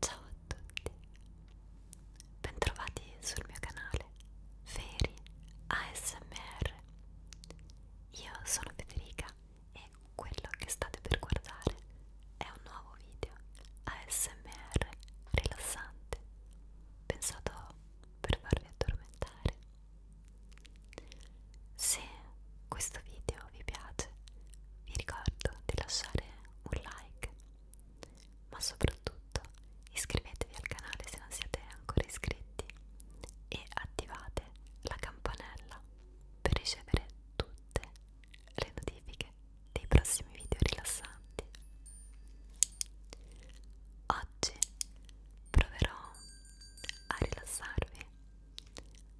Ciao a tutti, bentrovati sul mio canale Feri ASMR. Io sono Federica e quello che state per guardare è un nuovo video ASMR rilassante pensato per farvi addormentare. Se questo video vi piace, vi ricordo di lasciare un like, ma soprattutto iscrivetevi al canale se non siete ancora iscritti e attivate la campanella per ricevere tutte le notifiche dei prossimi video rilassanti. Oggi proverò a rilassarvi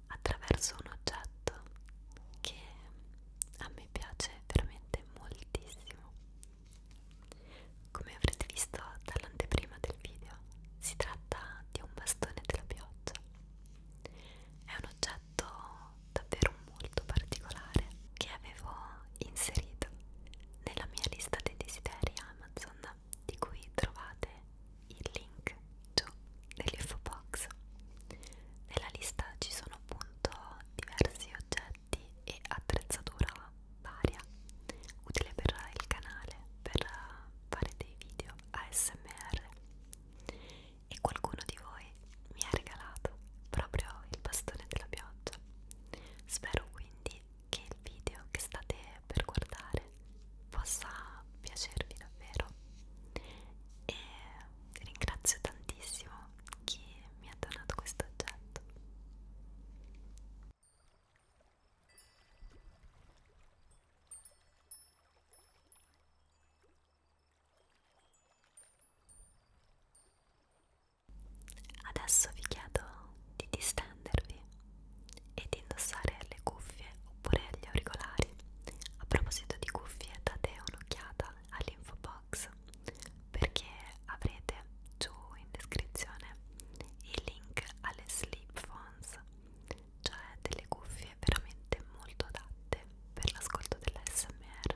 attraverso un oggetto che a me piace veramente moltissimo. Come avrete visto dall'anteprima del video, si tratta di un bastone della pioggia. È un oggetto davvero molto particolare che avevo inserito nella mia lista dei desideri Amazon di cui trovate il link giù nell'info box. Nella lista ci sono appunto diversi oggetti e attrezzatura varia utile per il canale, per fare dei video ASMR e qualcuno di voi mi ha regalato proprio il bastone della pioggia. Spero quindi che il video che state per guardare possa piacervi davvero e ringrazio tantissimo chi mi ha donato questo oggetto Adesso vi chiedo di distendervi e di indossare le cuffie oppure gli auricolari. A proposito di cuffie, date un'occhiata all'info box perché avrete giù in descrizione il link alle sleep phones, cioè delle cuffie veramente molto adatte per l'ascolto dell'ASMR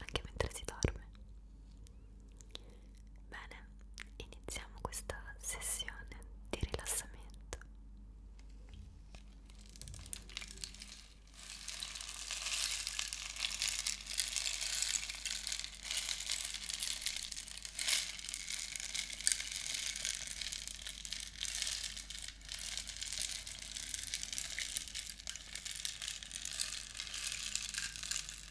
anche mentre si dorme. Bene, iniziamo questa sessione di rilassamento.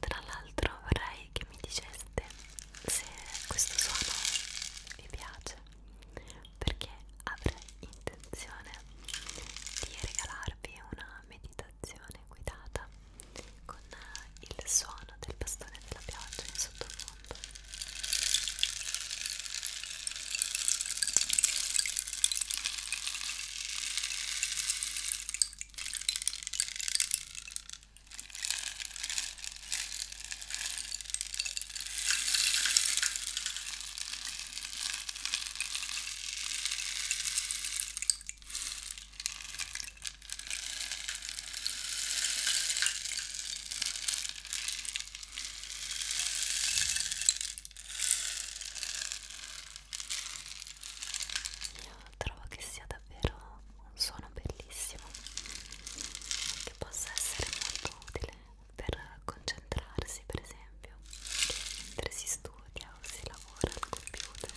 Tra l'altro vorrei che mi diceste se questo suono vi piace perché avrei intenzione di regalarvi una meditazione guidata con il suono del bastone della pioggia in sottofondo. Io trovo che sia davvero un suono bellissimo che possa essere molto utile per concentrarsi per esempio mentre si studia o si lavora al computer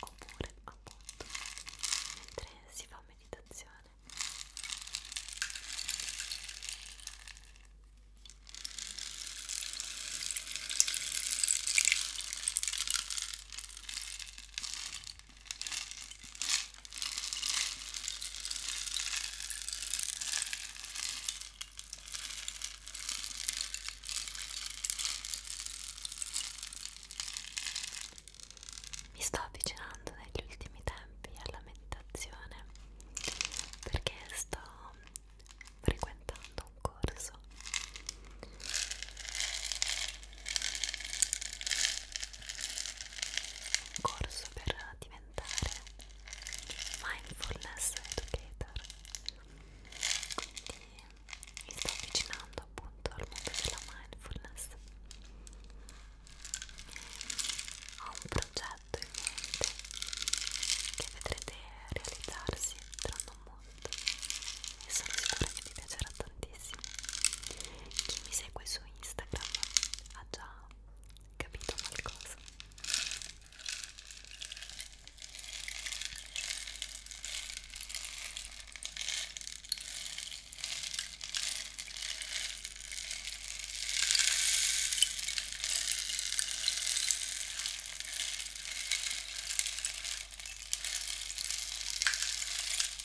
oppure appunto mentre si fa meditazione mi sto avvicinando negli ultimi tempi alla meditazione perché sto frequentando un corso un corso per diventare mindfulness educator quindi mi sto avvicinando appunto al mondo della mindfulness ho un progetto in mente che vedrete realizzarsi tra non molto e sono sicura che vi piacerà tantissimo tantissimo. Chi mi segue su Instagram ha già capito qualcosa.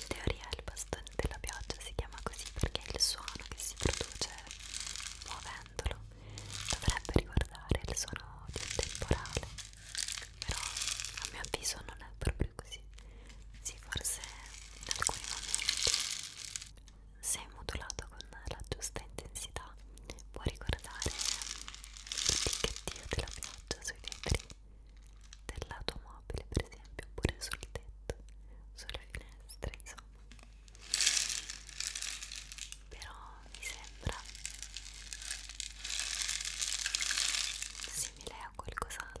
In teoria il bastone della pioggia si chiama così perché il suono che si produce muovendolo dovrebbe ricordare il suono di un temporale, però a mio avviso non è proprio così. Sì, forse in alcuni momenti, se modulato con la giusta intensità, può ricordare il ticchettio della pioggia sui vetri dell'automobile per esempio oppure sul tetto sulle finestre insomma però mi sembra simile a qualcos'altro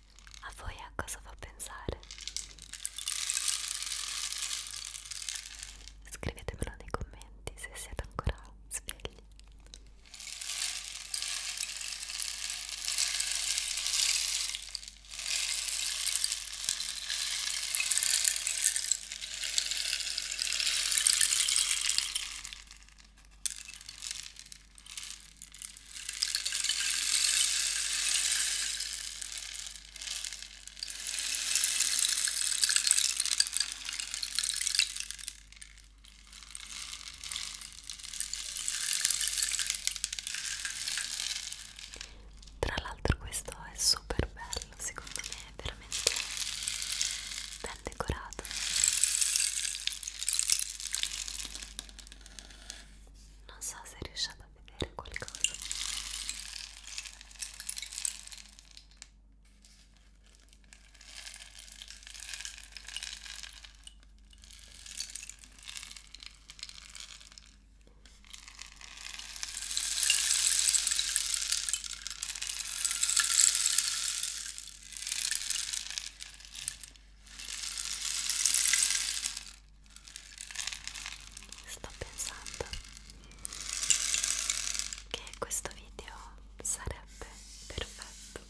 A voi a cosa fa pensare? Scrivetemelo nei commenti se siete ancora svegli. Tra l'altro questo è super bello, secondo me è veramente ben decorato non so se riusciate a vedere qualcosa Sto pensando che questo video sarebbe perfetto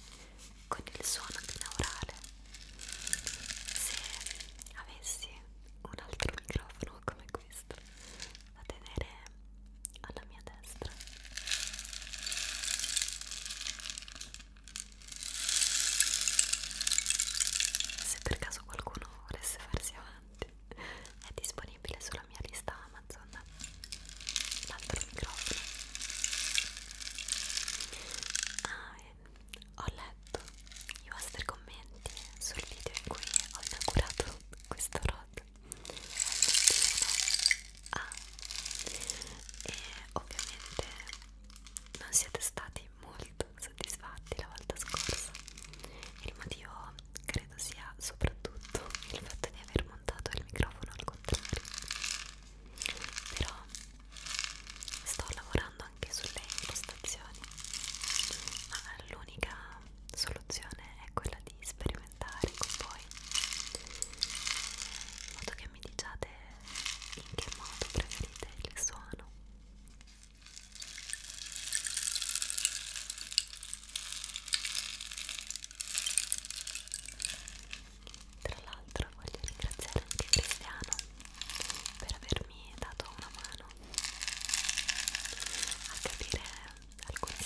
con il suono binaurale se avessi un altro microfono come questo da tenere alla mia destra se per caso qualcuno volesse farsi avanti, è disponibile sulla mia lista Amazon. L'altro microfono. Ah, eh, ho letto i vostri commenti sul video in cui ho inaugurato questo rod. È moltissimo a ah. e ovviamente non siete stati molto soddisfatti la volta scorsa il motivo credo sia soprattutto il fatto di aver montato il microfono al contrario però sto lavorando anche sulle impostazioni ma l'unica soluzione è quella di sperimentare con voi in modo che e mi diciate in che modo preferite il suono tra l'altro voglio ringraziare anche Cristiano per avermi dato una mano a capire alcuni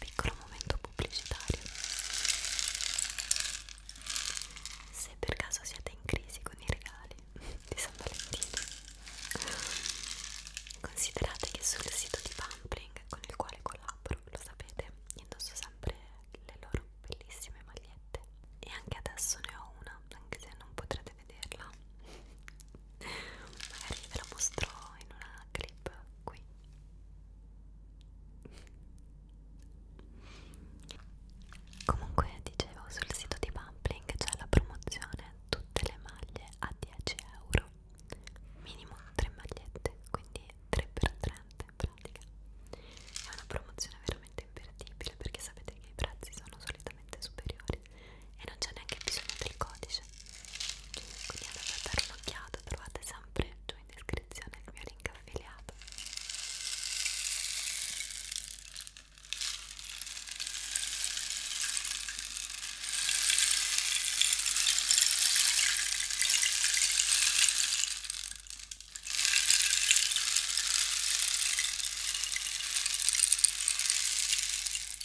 Piccolo momento pubblicitario. Se per caso siete in crisi con i regali di San Valentino, considerate che sul sito di Pampling, con il quale collaboro, lo sapete, indosso sempre le loro bellissime magliette. E anche adesso ne ho una, anche se non potrete vederla magari ve la mostro in una clip qui comunque dicevo sul sito di Bumpling c'è la promozione tutte le maglie a 10 euro minimo 3 magliette quindi 3x30 in pratica è una promozione veramente imperdibile perché sapete che i prezzi sono solitamente superiori e non c'è neanche bisogno del codice quindi andate a dare un'occhiata trovate sempre giù in descrizione il mio link affiliato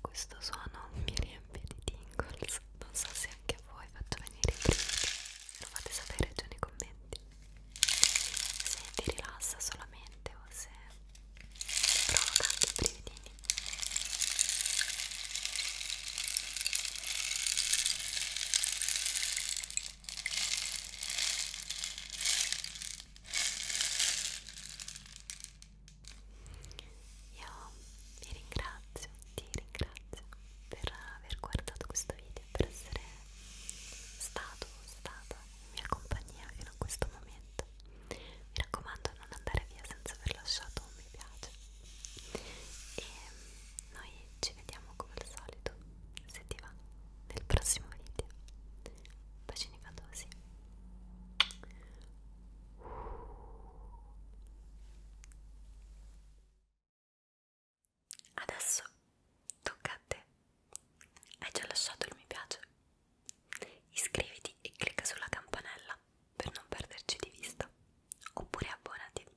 Questo suono mi riempie di tingles, non so se anche a voi faccio venire i brividi, lo fate sapere giù nei commenti. Se ti rilassa solamente o se provoca anche i brividini. Io vi ringrazio, ti ringrazio per aver guardato questo video, per essere stato stata in mia compagnia fino a questo momento. Mi raccomando non andare via senza aver lasciato un mi piace. E noi ci vediamo come al solito se ti va nel prossimo video bacini fatosi adesso tocca a te hai già lasciato il mi piace iscriviti e clicca sulla campanella per non perderci di vista oppure abbonati